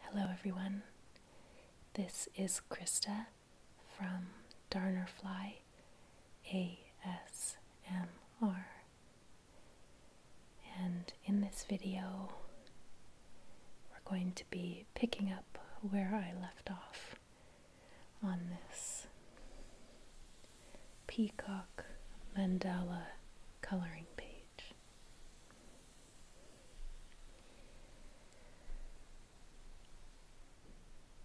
Hello, everyone. This is Krista from Darnerfly ASMR. And in this video, we're going to be picking up where I left off on this peacock mandala coloring page.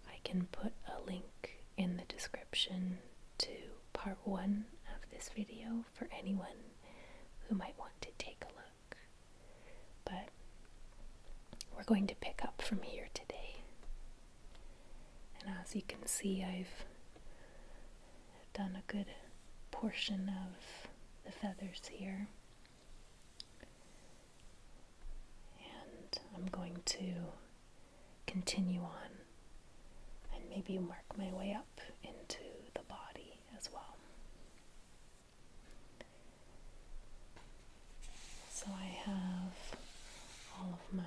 I can put a link in the description to part one of this video for anyone who might want to take a look. But we're going to pick up from here today. And as you can see, I've done a good portion of the feathers here. And I'm going to continue on and maybe mark my way up into the body as well. So I have all of my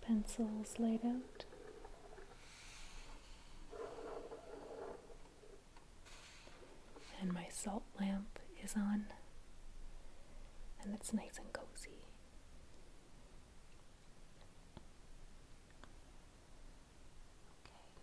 pencils laid out. And my salt lamp is on, and it's nice and cozy. Okay.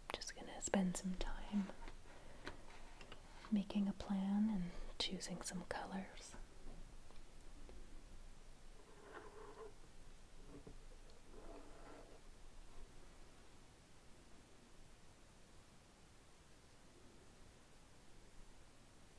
I'm just going to spend some time making a plan and choosing some colors.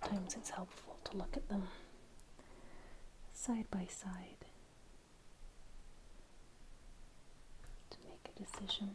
Sometimes it's helpful to look at them side by side to make a decision.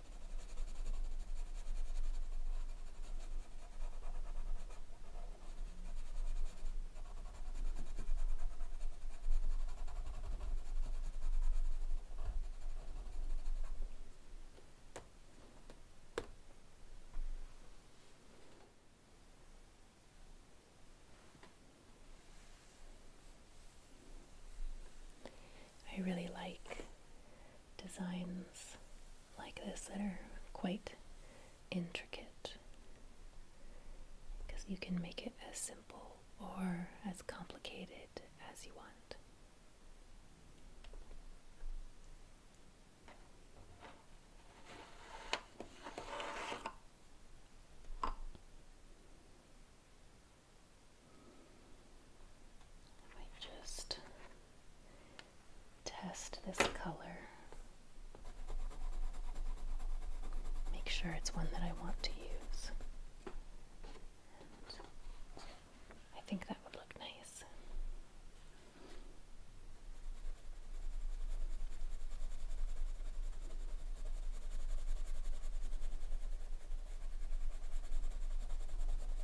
I really like designs like this that are quite intricate because you can make it as simple or as complicated as you want. Let me just test this color. Make sure it's one that I want to use. I think that would look nice.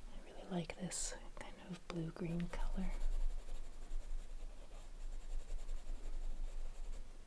I really like this kind of blue green color.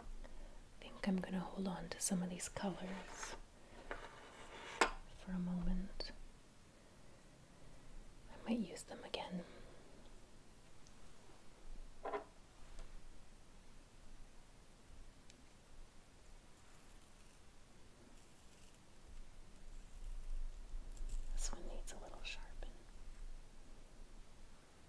I think I'm gonna hold on to some of these colors for a moment. I might use them again. This one needs a little sharpen.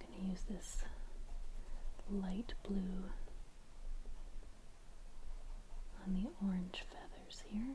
I'm going to use this light blue on the orange feathers here.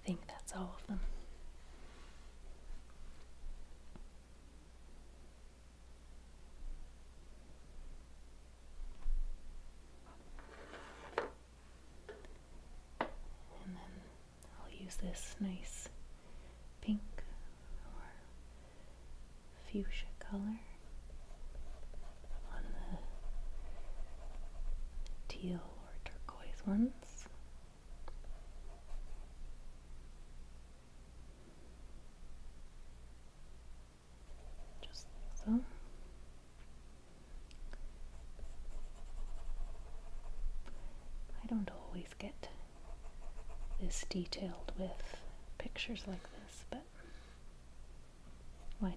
I think that's all of them. And then I'll use this nice pink or fuchsia color on the teal or turquoise ones just so. I don't always get this detailed with pictures like this, but why not?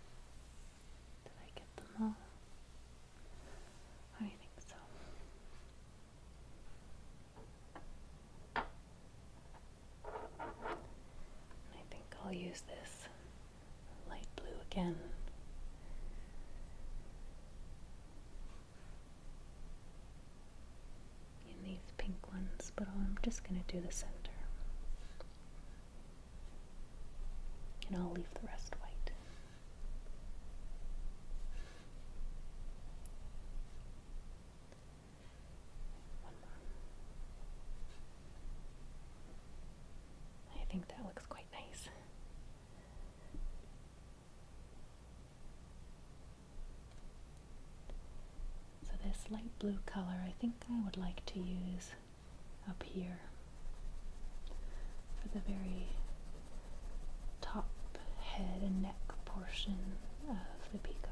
Did I get them all? I think so. I think I'll use this light blue again. In these pink ones, but I'm just going to do the center. And I'll leave the rest white. I think that looks quite nice. So this light blue color I think I would like to use up here for the very top head and neck portion of the peacock.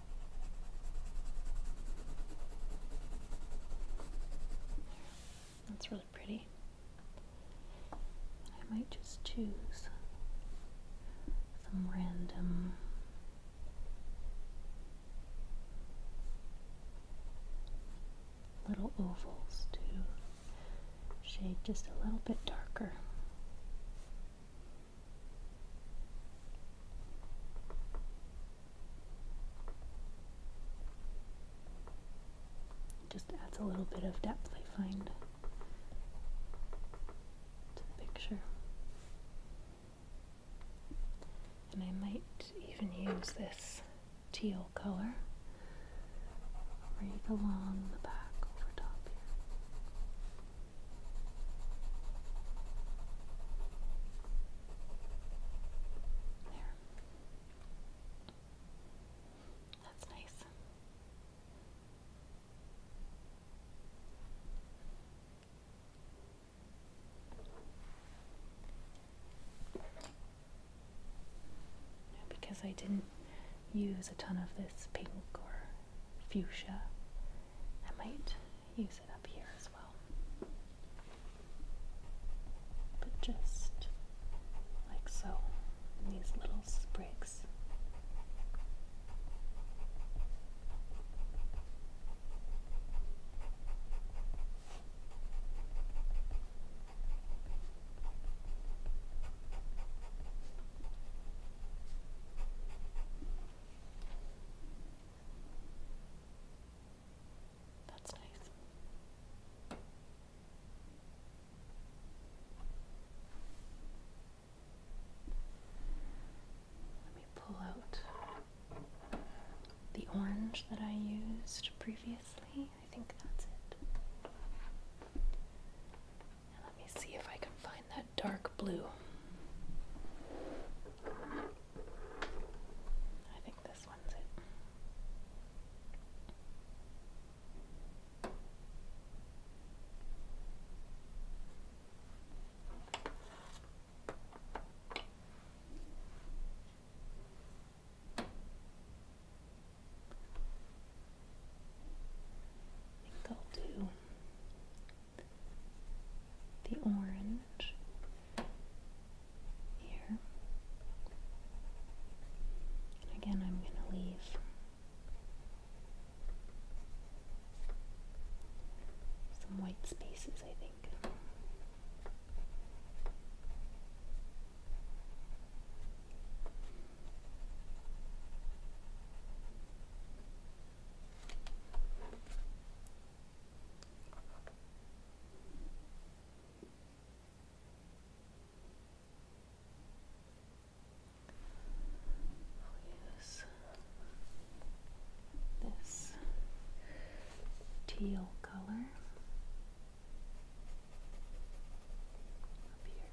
That's really pretty. I might just choose some random little ovals to shade just a little bit darker. Just adds a little bit of depth, I find, to the picture. And I might even use this teal color right along the back over top here. That's nice. because I didn't use a ton of this pink or fuchsia, I might use it up here as well. But just like so, these little sprigs. That's nice. Let me pull out the orange that I used previously. I think that's it. let me see if I can find dark blue. I think this one's it. I think I'll do the orange here. again, I'm going to leave some white spaces, I think use this teal color up here.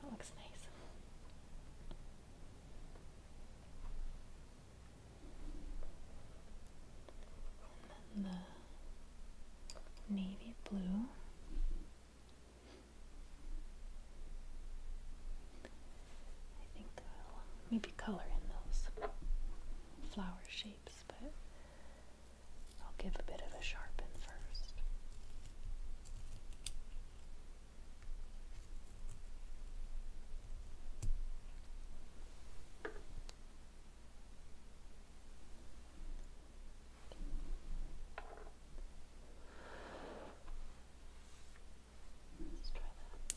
That looks nice. navy blue. I think I'll maybe color in those flower shapes, but I'll give a bit of a sharpen first. Let's try that.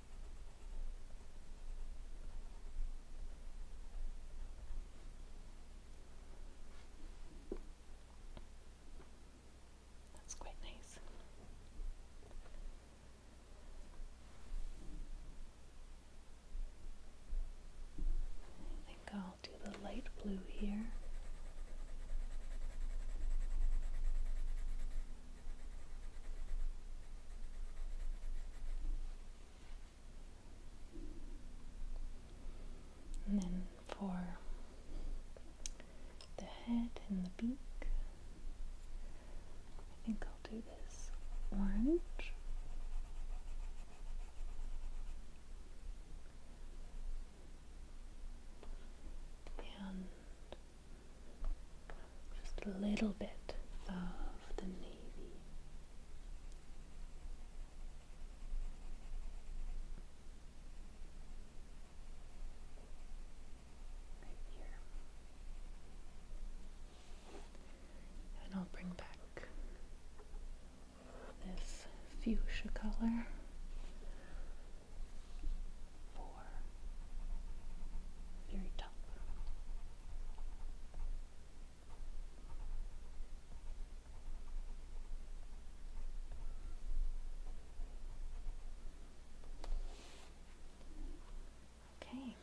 That's quite nice. I think I'll do the light blue here. And then for the head and the beak, I think I'll do this orange. And just a little bit of the navy. Right here. And I'll bring back this fuchsia color four, very tough. Okay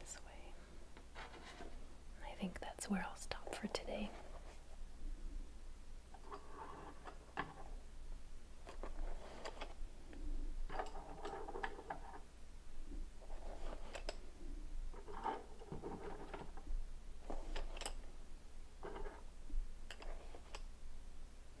this way. I think that's where I'll stop for today.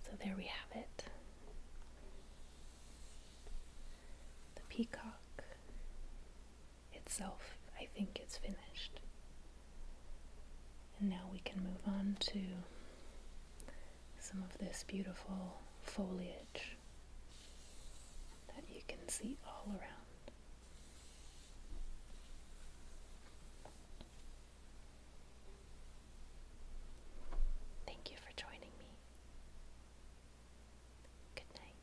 So there we have it. The peacock itself, I think, is finished. And now we can move on to some of this beautiful foliage that you can see all around. Thank you for joining me. Good night.